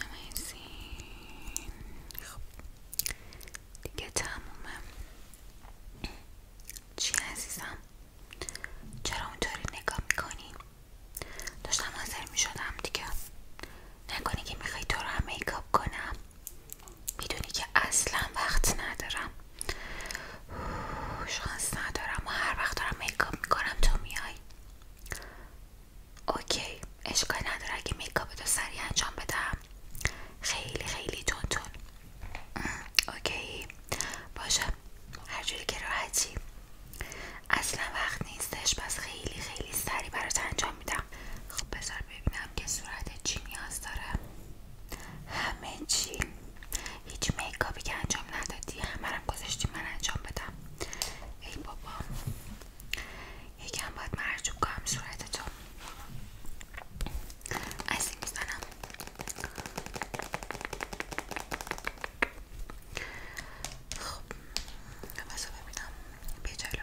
amazing خب دیگه تمومه چی عزیزم چرا اونطوری نگاه میکنی؟ داشتم حاضر میشدم دیگه نکنی که میخوای تو رو هم کنم میدونی که اصلا وقت ندارم شانس ندارم و هر وقت دارم میکاب میکنم تو میای اوکی اشکال نداره اگه میکاپ تو سریع انجام بدم خیلی خیلی تون تون اوکی باشه هرجوری که راحتی اصلا وقت نیستش پس خیلی خیلی سریع برات انجام میدم خب بذار ببینم که صورت چی نیاز داره همه چی هیچ میکابی که انجام ندادی همرم گذاشتی من انجام بدم ای بابا یکم باید مرجوب کنم صورتتو از این میزنم خب ببینم بجلو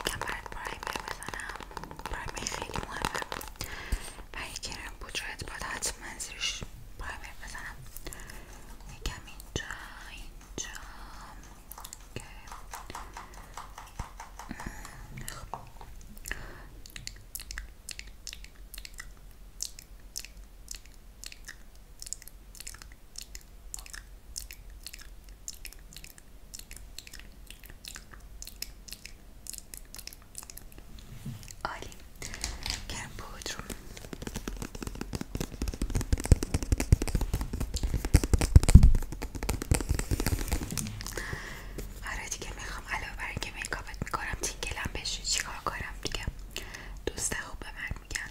یکم برات پرایمر بزنم پرایمر خیلی مهمه برای کرم بود شاید باید حتما زیرش پرایمر بزنم یکم اینجا اینجا خب عالی کرم بود که دیگه میخوام علاوه که اینکه میکاپت میکنم تینگلم بشه چیکار کنم دیگه دوست خوب به من میگن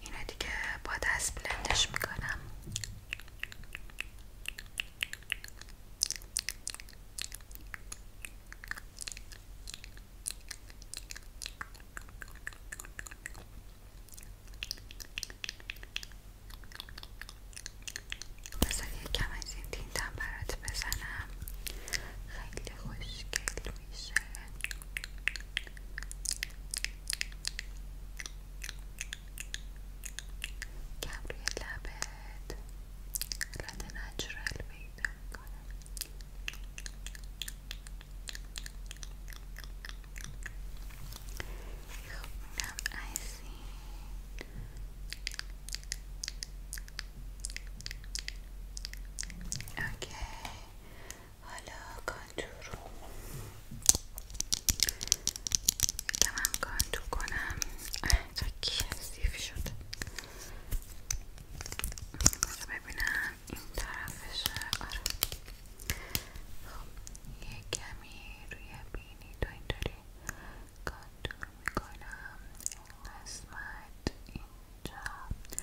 اینا دیگه با دست بلندش میکنم بذار کم از این بزنم خیلی خوشگل میشه که روی لبت حالت نچرال پیدا میکنه خب اینم از اوکی حالا کانتور رو که من کانتور کنم اینجا کثیف شد ببینم این طرفش آره. خب، یه کمی روی بینی تو اینطوری کانتور میکنم این قسمت اینجا اینجا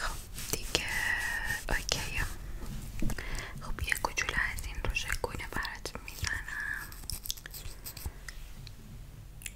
خب دیگه اوکی خب یه کوچولو از این رو شکونه برات میزنم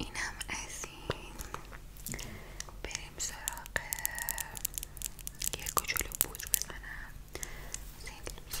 اینم از این بریم سراغ یه کوچولو بوج بزنم از این لوز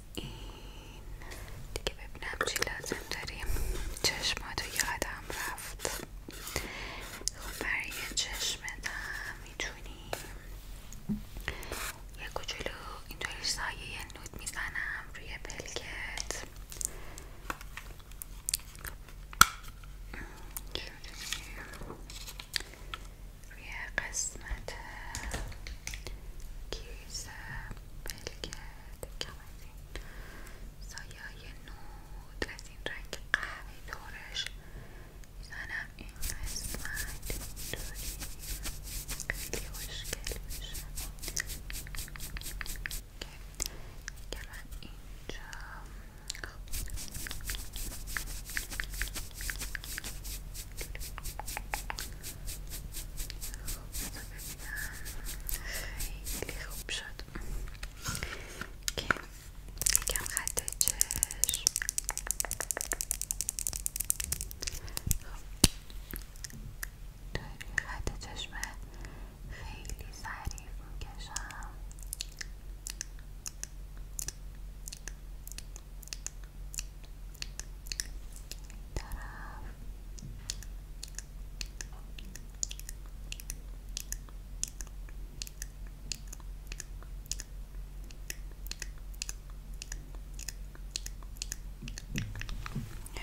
این دیگه ببینم چی لازم داریم چشماتو یادم رفت خب برای چشمت هم میتونیم یه کوچولو اینطوری سایه نوت میزنم روی پلکت روی قسمت کیس بلکه دکم از این سایه نود از این رنگ قوی دورش میزنم این قسمت خیلی که من اینجا خیلی خوب شد که خط چشم خیلی ظریف خب. میکشم طرف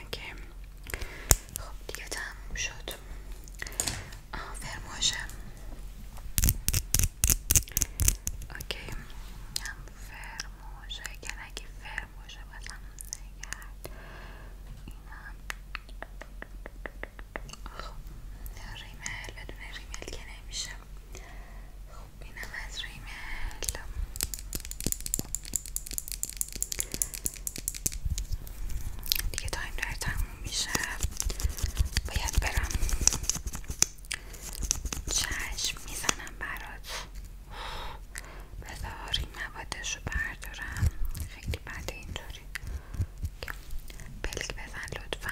اوکی خب دیگه تموم شد آه فرموشم اوکی هم فرموشه که نگی فرموشه بازم نگرد اینم خب ریمل بدون ریمل که نمیشه خب اینم از ریمل دیگه تایم در تموم میشه باید برم چشم میزنم برات بذار این موادش رو بردارم خیلی بعد اینطوری بلک بزن لطفا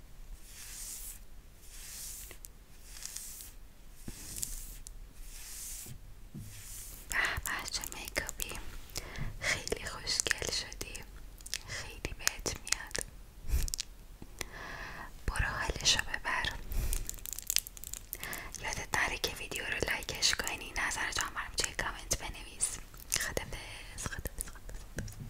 به چه میکاپی خیلی خوشگل شدی خیلی بهت میاد برو حالشو ببر یادت نره که ویدیو رو لایکش کنی نظر هم برام توی کامنت بنویس خدافظ